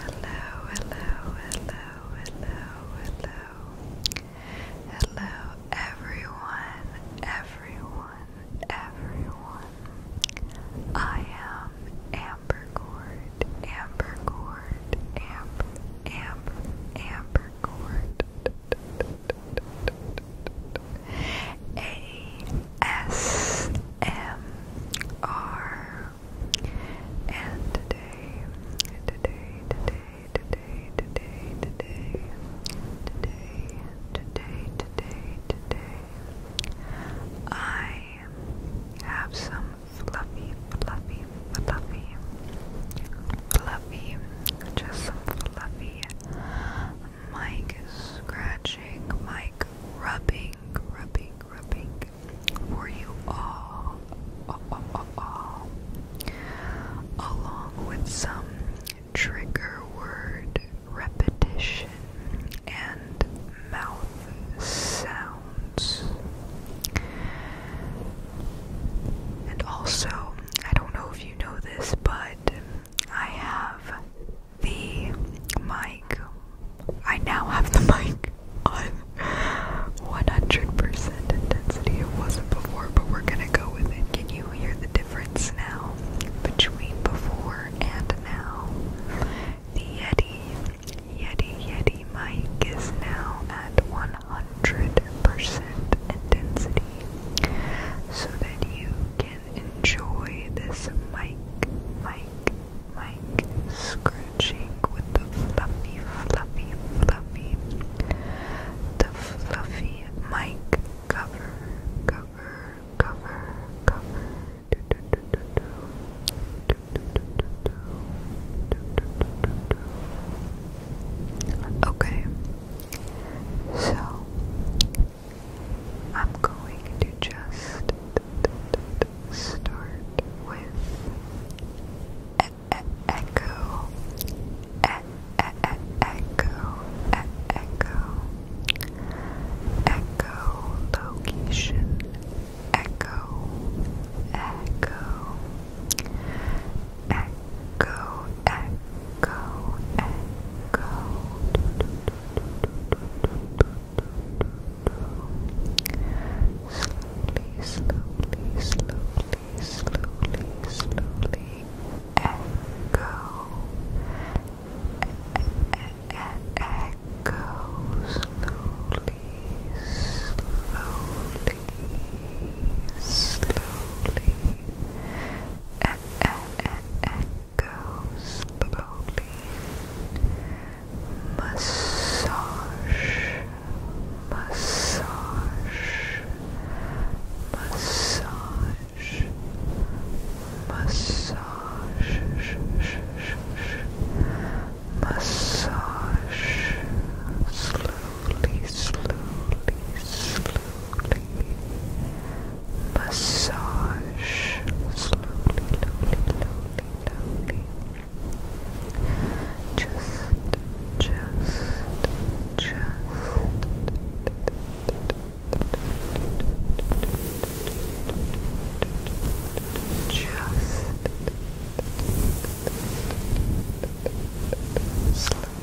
Hello, hello, hello, hello, hello. Hello, everyone, everyone, everyone. I am Amber Cord, Amber Cord, Amber, Amber, Amber Cord. ASMR and today, today, today, today, today, today, today, today, today, today, I have some fluffy, fluffy, fluffy, fluffy, just some fluffy Mike scratching, Mike rubbing, rubbing, rubbing for you all, along with some trigger word repetition and mouth sounds. And also I don't know if you know this, but I have the mic. I now have the mic on 100% intensity. It wasn't before, but we're gonna go with it. Can you hear the difference now between before and now? The Yeti, Yeti, Yeti mic is now at 100%. 100% intensity so that you can enjoy this mic, mic, mic scratching with the fluffy, fluffy, fluffy, the fluffy mic cover, cover, cover, cover. Okay, so I'm going to just start with echo, echo, echo, echo location, echo, echo echo, echo, echo. Slowly, slowly, slowly, slowly, slowly. Echo, echo, slowly, slowly, slowly echoes slowly massage massage massage massage massage slowly slowly, slowly, slowly massage slowly, slowly, slowly, slowly. Just, just, just. Just slowly,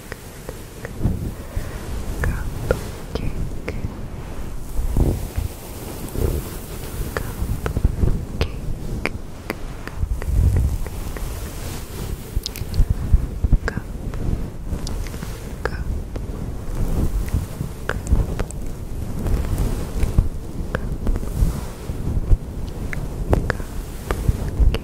Cupcake. Cupcake. Cup. Cup. Cup. Cupcake butter, butter, butter, butter, butter,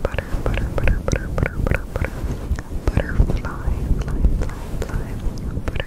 butter, butter, butter, butterfly, fly, fly, fly, butterfly,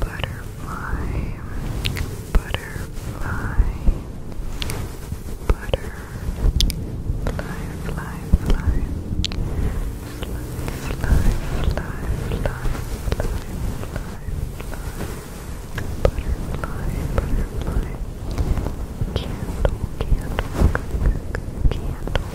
butterfly, butterfly, butter, fly, fly, fly, fly, fly, fly, fly, fly, fly, butterfly, butterfly, candle, candle, candle,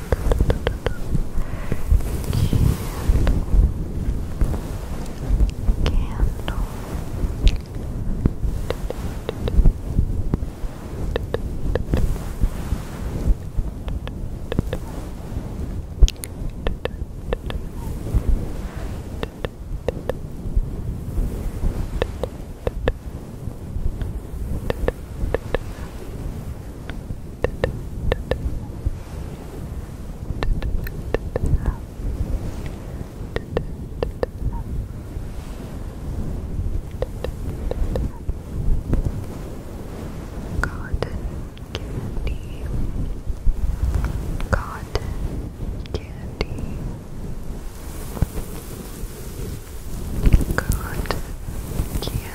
Candle. Candle. Cotton candy, cotton candy, cotton candy.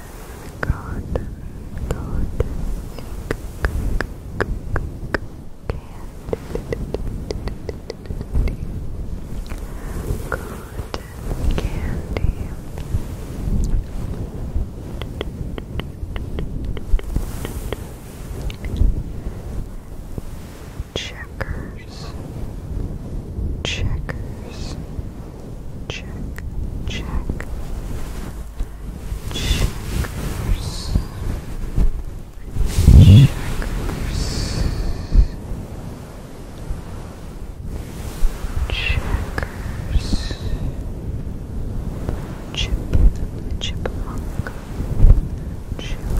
cotton, cotton candy, cotton candy. Checkers, checkers, check, check, Chakras. Chakras. Checkers. Chip. Chipmunk. Chipmunk. Chipmunk.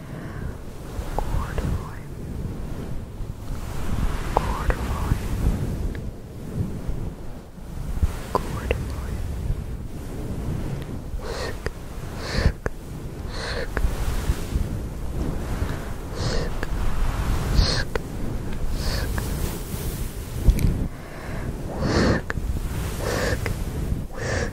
corduroy, corduroy, corduroy, sk, sk, sk, sk, sk, sk, sk, sk, sk.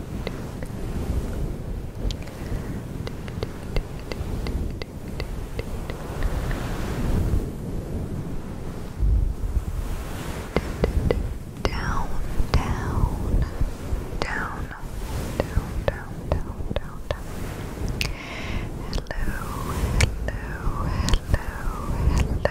Down, down, down, down, down, down, down, down. Hello, hello, hello, hello,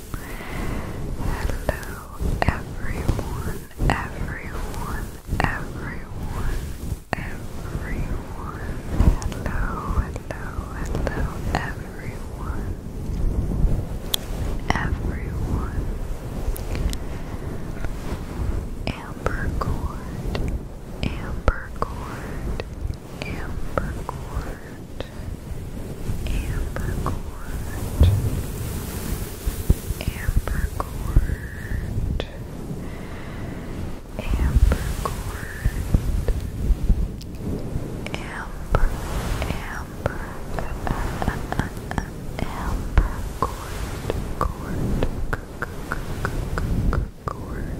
Hello everyone, everyone, everyone, everyone. Hello, hello, hello, everyone. Everyone. Amber cord, amber ambercord, ambercord, ambercord, amber, amber, uh, uh, uh, uh, ambercord, cord,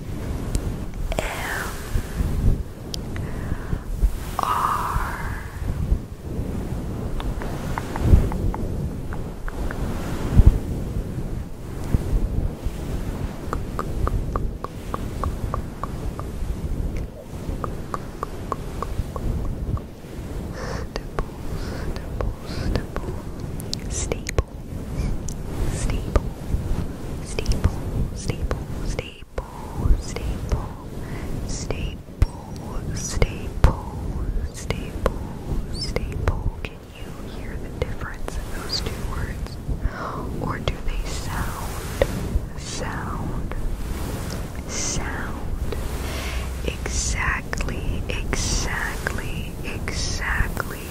M R Stable, stable, stable, stable, Steeple, steeple, steeple, steeple, steeple, steeple, steeple, steeple, steeple, Can you hear the difference in those two words? Or do they sound, sound, sound exactly, exactly, exactly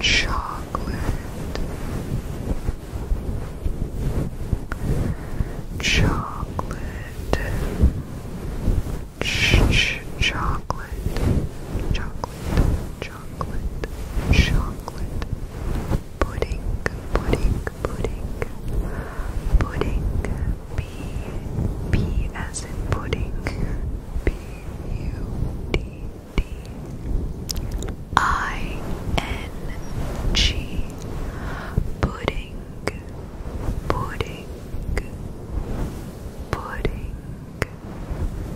chocolate, chocolate, ch chocolate, chocolate, chocolate, chocolate, pudding, pudding, pudding, pudding, p p as in pudding, p u d D I N G pudding pudding pudding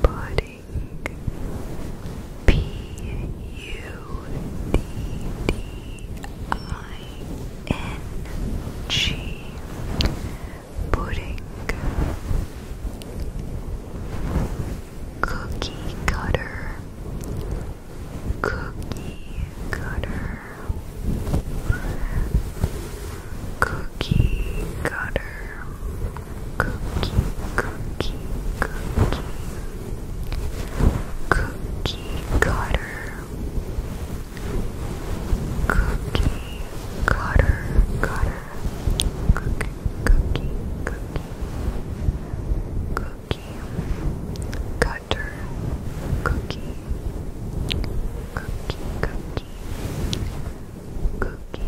pudding P U D D I N G pudding, cookie cutter, cookie cutter, cookie cutter, cookie, cookie, cookie, cookie cutter. Cookie, cutter, cutter, Cookie, cookie, cookie. Cookie. Cutter. Cookie. Cookie, cookie. Cookie.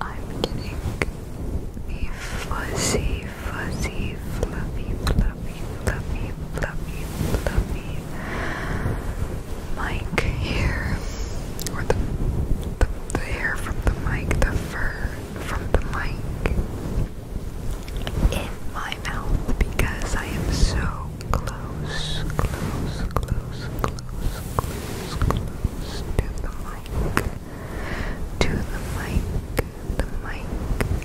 I'm getting the fuzzy, fuzzy, fluffy, fluffy, fluffy, fluffy, fluffy, fluffy mic here. Or the, the, the hair from the mic, the fur from the mic in my mouth because I am so close, close, close, close, close, close to the mic. To the mic, the mic,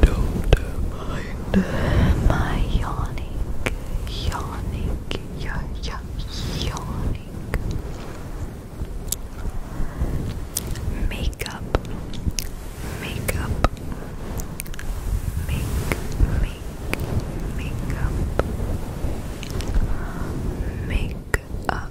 Don't mind my yawning, yawning, yeah, yeah, yawning. Makeup, makeup, make, make, makeup, make up,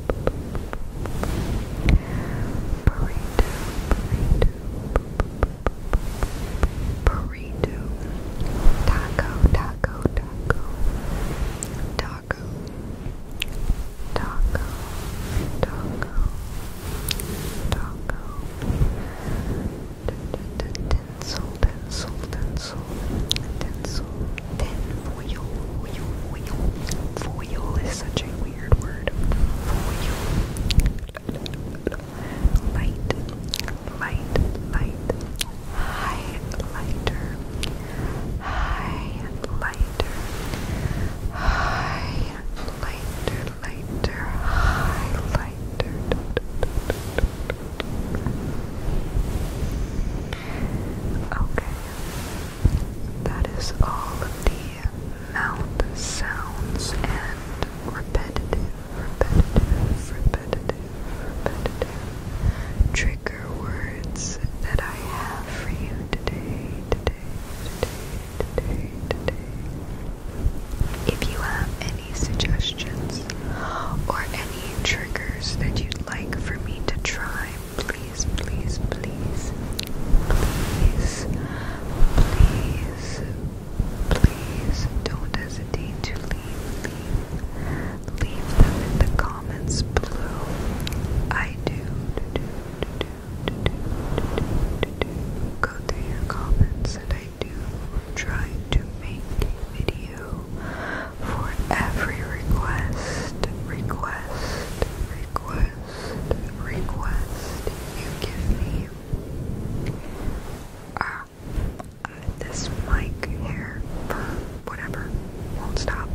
burrito, burrito, burrito, taco, taco, taco, taco, taco, taco, taco, tinsel, tinsel, tinsel. Denzel, Denzel, then foil, foil, foil. is such a weird word. Light, light, light. Highlighter, highlighter, highlighter, lighter, highlighter. Okay, that is all of the mouth sounds and repetitive, repetitive, repetitive, repetitive trigger words that I have for you today, today, today, today, today. If you have any suggestions or any triggers that you'd like for me to try time, please, please, please, please, please, please don't hesitate to leave, leave, leave them in the comments below. I do, do, do, do, do, do, do, do, do, go through your comments and I do try to make a video for every request, request, request, request you give me. Ah, this mic here, whatever, won't stop.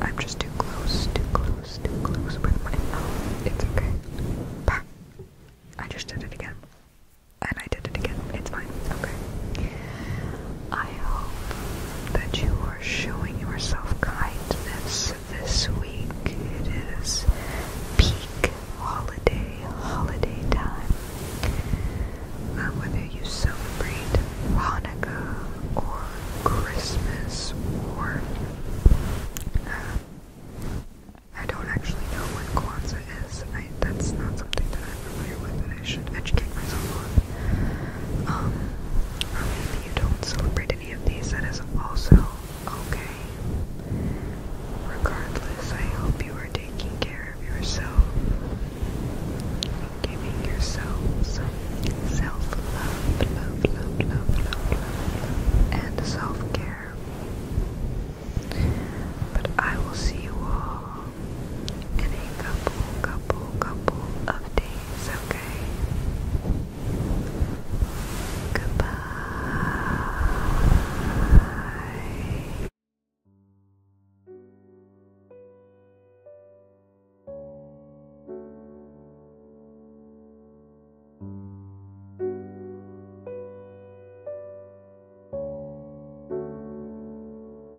I'm just too close, too close, too close with my mouth. It's okay. I just did it again. And I did it again. It's fine. Okay. I hope that you are showing yourself kindness this week. It is peak holiday, holiday time. Uh, whether you celebrate Hanukkah or Christmas or uh, I don't actually know what Kwanzaa is. that's not something that I'm familiar with I should educate myself on. Um, or maybe you don't celebrate any of these, that is also okay. Regardless, I hope you are taking care of yourself, giving yourself self-love, love, love, love, love, love, and self-care. But I will see you all in a couple, couple, couple of days, okay? Goodbye.